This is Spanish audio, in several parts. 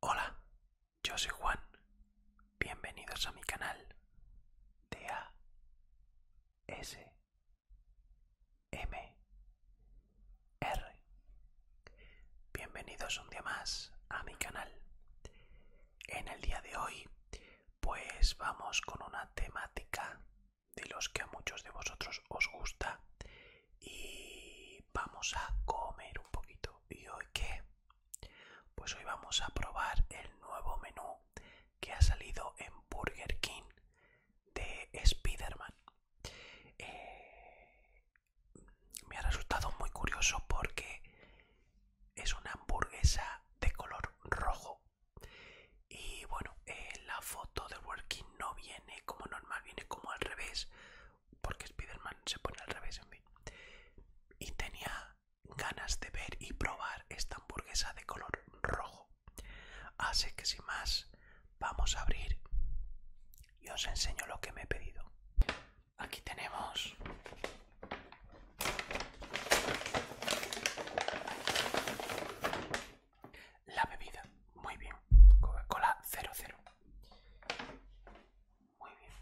Hola, yo soy Juan. Bienvenidos a mi canal de A S M R. Bienvenidos un día más a mi canal. En el día de hoy pues vamos con una temática de los que a muchos de vosotros os gusta y vamos a comer un poquito. ¿Y hoy qué? Pues hoy vamos a probar el nuevo menú que ha salido en Burger King de spiderman eh, me ha resultado muy curioso porque es una hamburguesa de color rojo y bueno eh, la foto de working no viene como normal viene como al revés porque Spiderman se pone al revés en mí y tenía ganas de ver y probar esta hamburguesa de color rojo así que sin más vamos a abrir y os enseño lo que me he pedido Aquí tenemos la bebida. Muy bien. Coca-Cola 00. Muy bien.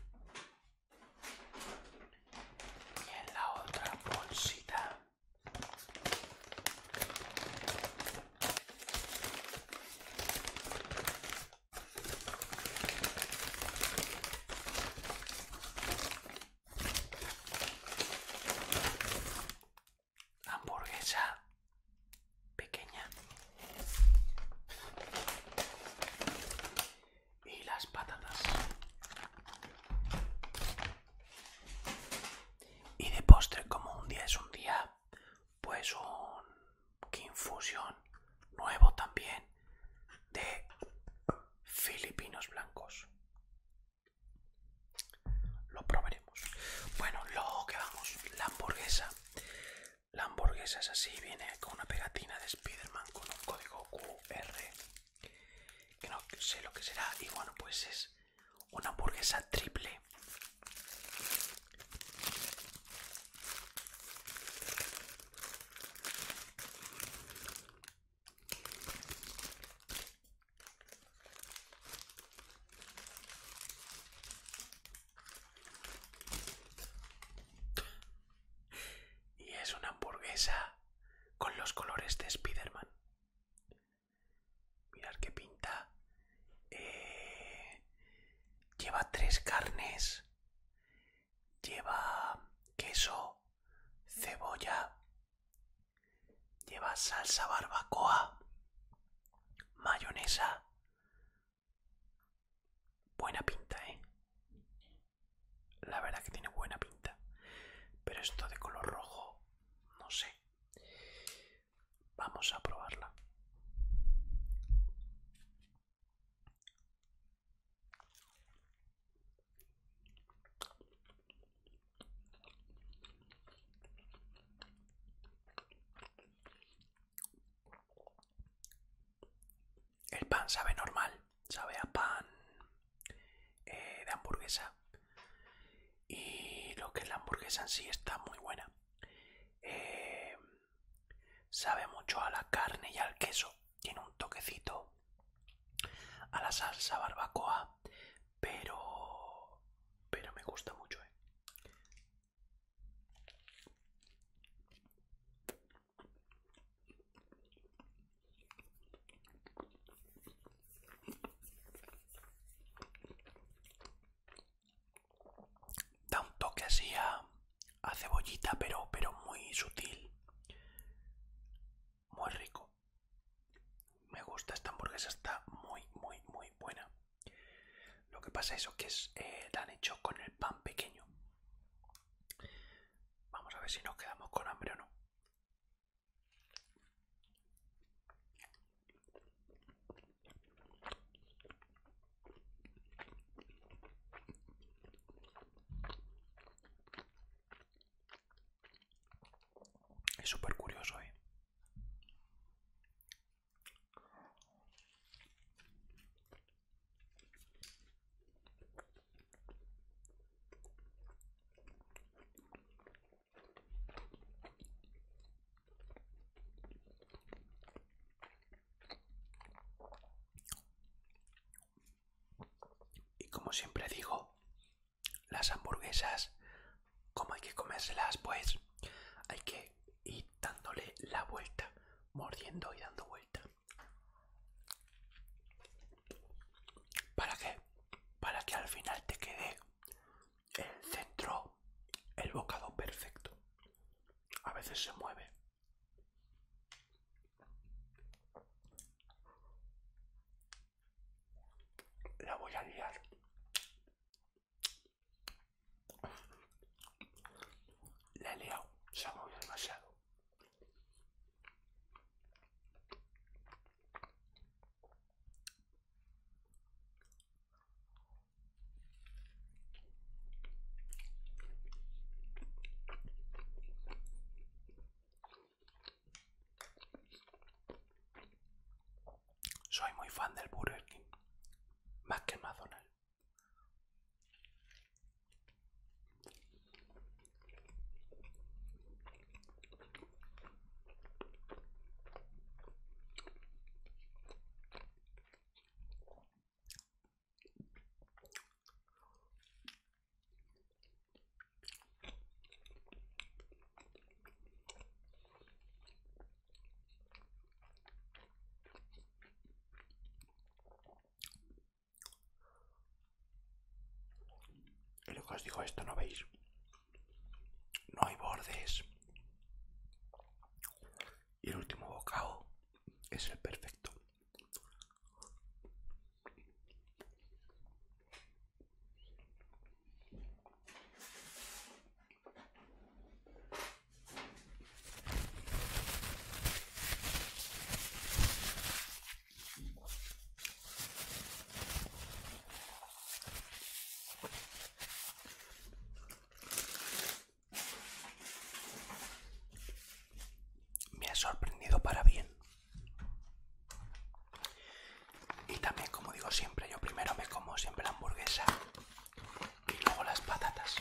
Y en la otra bolsita Hamburguesa pequeña. Y las patatas. Y de postre, como un día es un día, pues un infusión nuevo también de filipinos blancos. Lo probaremos. Bueno, lo que vamos, la hamburguesa. La hamburguesa es así, viene con una pegatina de Spiderman con un código QR. Que no sé lo que será. Y bueno, pues es una hamburguesa triple. Y es una hamburguesa con los colores de Spiderman man Mirad qué pinta. Eh, lleva tres carnes lleva queso, cebolla, lleva salsa barbacoa, mayonesa. Buena pinta, ¿eh? La verdad que tiene buena pinta. Pero esto de color rojo, no sé. Vamos a probarla. El pan sabe normal, sabe a pan eh, de hamburguesa. Y lo que es la hamburguesa en sí está muy buena. Eh, Sabe mucho a la carne y al queso. Tiene un toquecito a la salsa barbacoa, pero pero me gusta mucho, ¿eh? Da un toque así a a cebollita, pero, pero muy sutil. Muy rico. Me gusta esta hamburguesa, está muy, muy, muy buena. Lo que pasa es que es, eh, la han hecho con el pan pequeño. Vamos a ver si nos quedamos con hambre o no. Es súper curioso, ¿eh? Y como siempre digo, las hamburguesas, como hay que comérselas, pues hay que ir dándole la vuelta, mordiendo y dando vuelta. ¿Para qué? Para que al final te quede el centro, el bocado perfecto. A veces se mueve, la voy a liar. La he liado, se ha demasiado. Soy muy fan del Burger King, más que el y lo que os dijo esto, ¿no veis? No hay bordes y el último bocado es el perfecto me ha sorprendido para bien y también como digo siempre yo primero me como siempre la hamburguesa y luego las patatas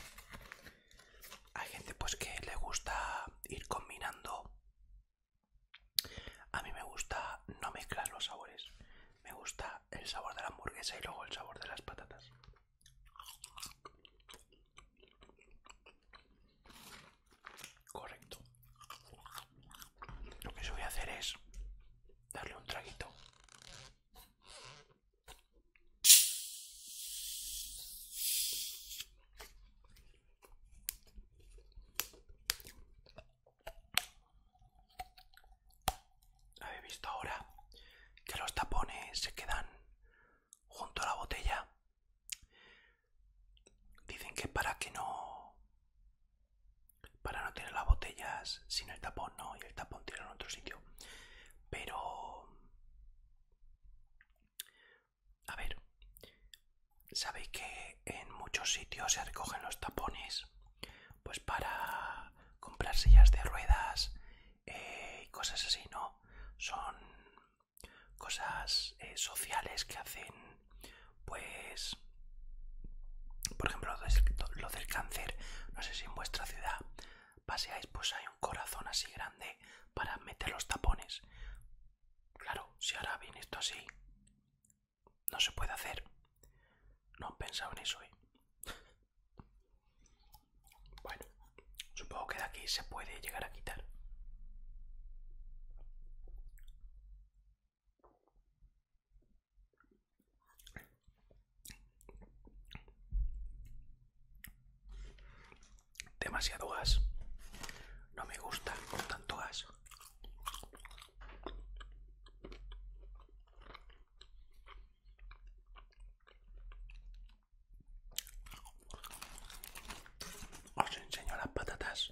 hay gente pues que le gusta ir combinando a mí me gusta no mezclar los sabores me gusta el sabor de la hamburguesa y luego el sabor de las patatas Correcto. Lo que yo voy a hacer es darle un traguito. Habéis visto ahora que los tapones se quedan junto a la botella. Dicen que para que no... Para no tener las botellas sin el tapón, no, y el tapón tiene en otro sitio. Pero... A ver, sabéis que en muchos sitios se recogen los tapones pues para comprar sillas de ruedas eh, y cosas así, ¿no? Son cosas eh, sociales que hacen, pues, por ejemplo, lo, del cáncer. No sé si en vuestra ciudad paseáis, pues hay un corazón así grande para meter los tapones. Claro, si ahora viene esto así, no se puede hacer. No han pensado en eso, ¿eh? Bueno, supongo que de aquí se puede llegar a quitar. Demasiado gas. No me gusta con tanto gas. Os enseño las patatas.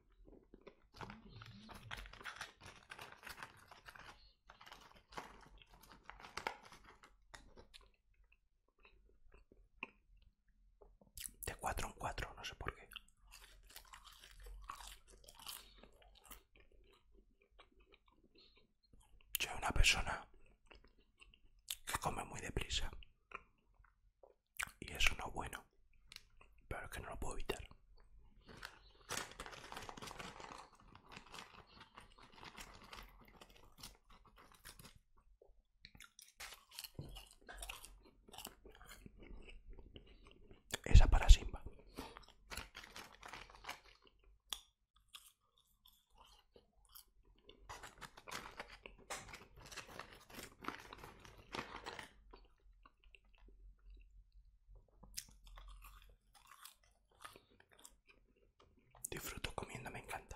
De cuatro en cuatro, no sé por qué. Yo soy una persona que come muy deprisa. Y eso no es bueno, pero es que no lo puedo evitar. Esa para Simba. Disfruto comiendo, me encanta.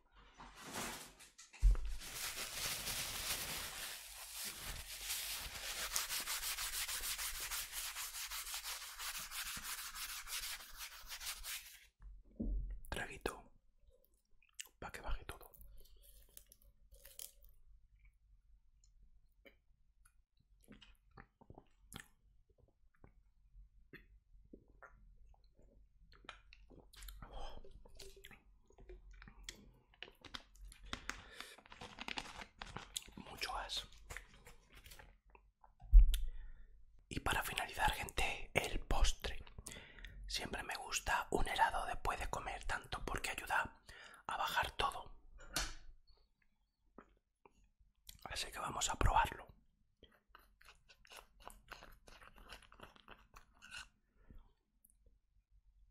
Traguito para que baje todo. Mucho gas. Y para finalizar, gente, el postre. Siempre me gusta un helado después de comer tanto porque ayuda a bajar todo. Así que vamos a probarlo.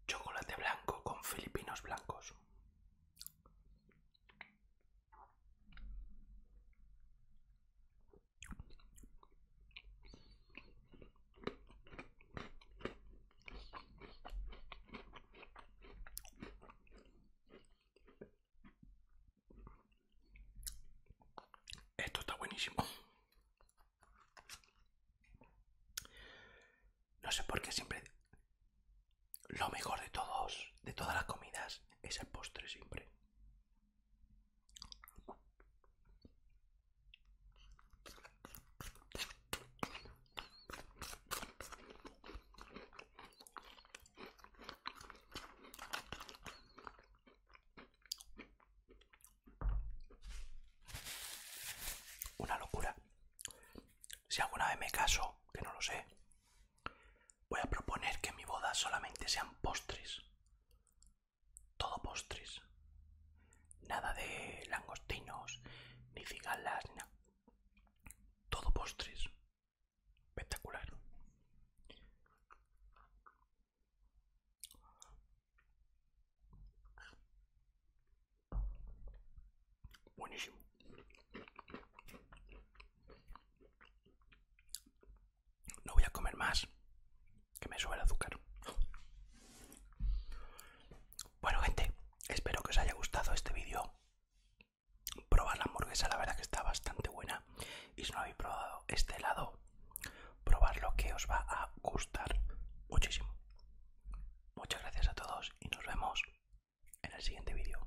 Chocolate blanco con filipinos blancos. Esto está buenísimo. No sé por qué siempre... Lo mejor de todos, de todas las comidas, es el postre siempre. Una locura. Si alguna vez me caso, que no lo sé, voy a proponer que mi boda solamente sean postres. Todo postres. Nada de langostinos, ni cigalas, nada. Todo postres. Espectacular. Buenísimo. No voy a comer más, que me sube el azúcar. Bueno gente, espero que os haya gustado este vídeo. Probar la hamburguesa, la verdad que está bastante buena y si no habéis probado este helado, lo que os va a gustar muchísimo. Muchas gracias a todos y nos vemos en el siguiente vídeo.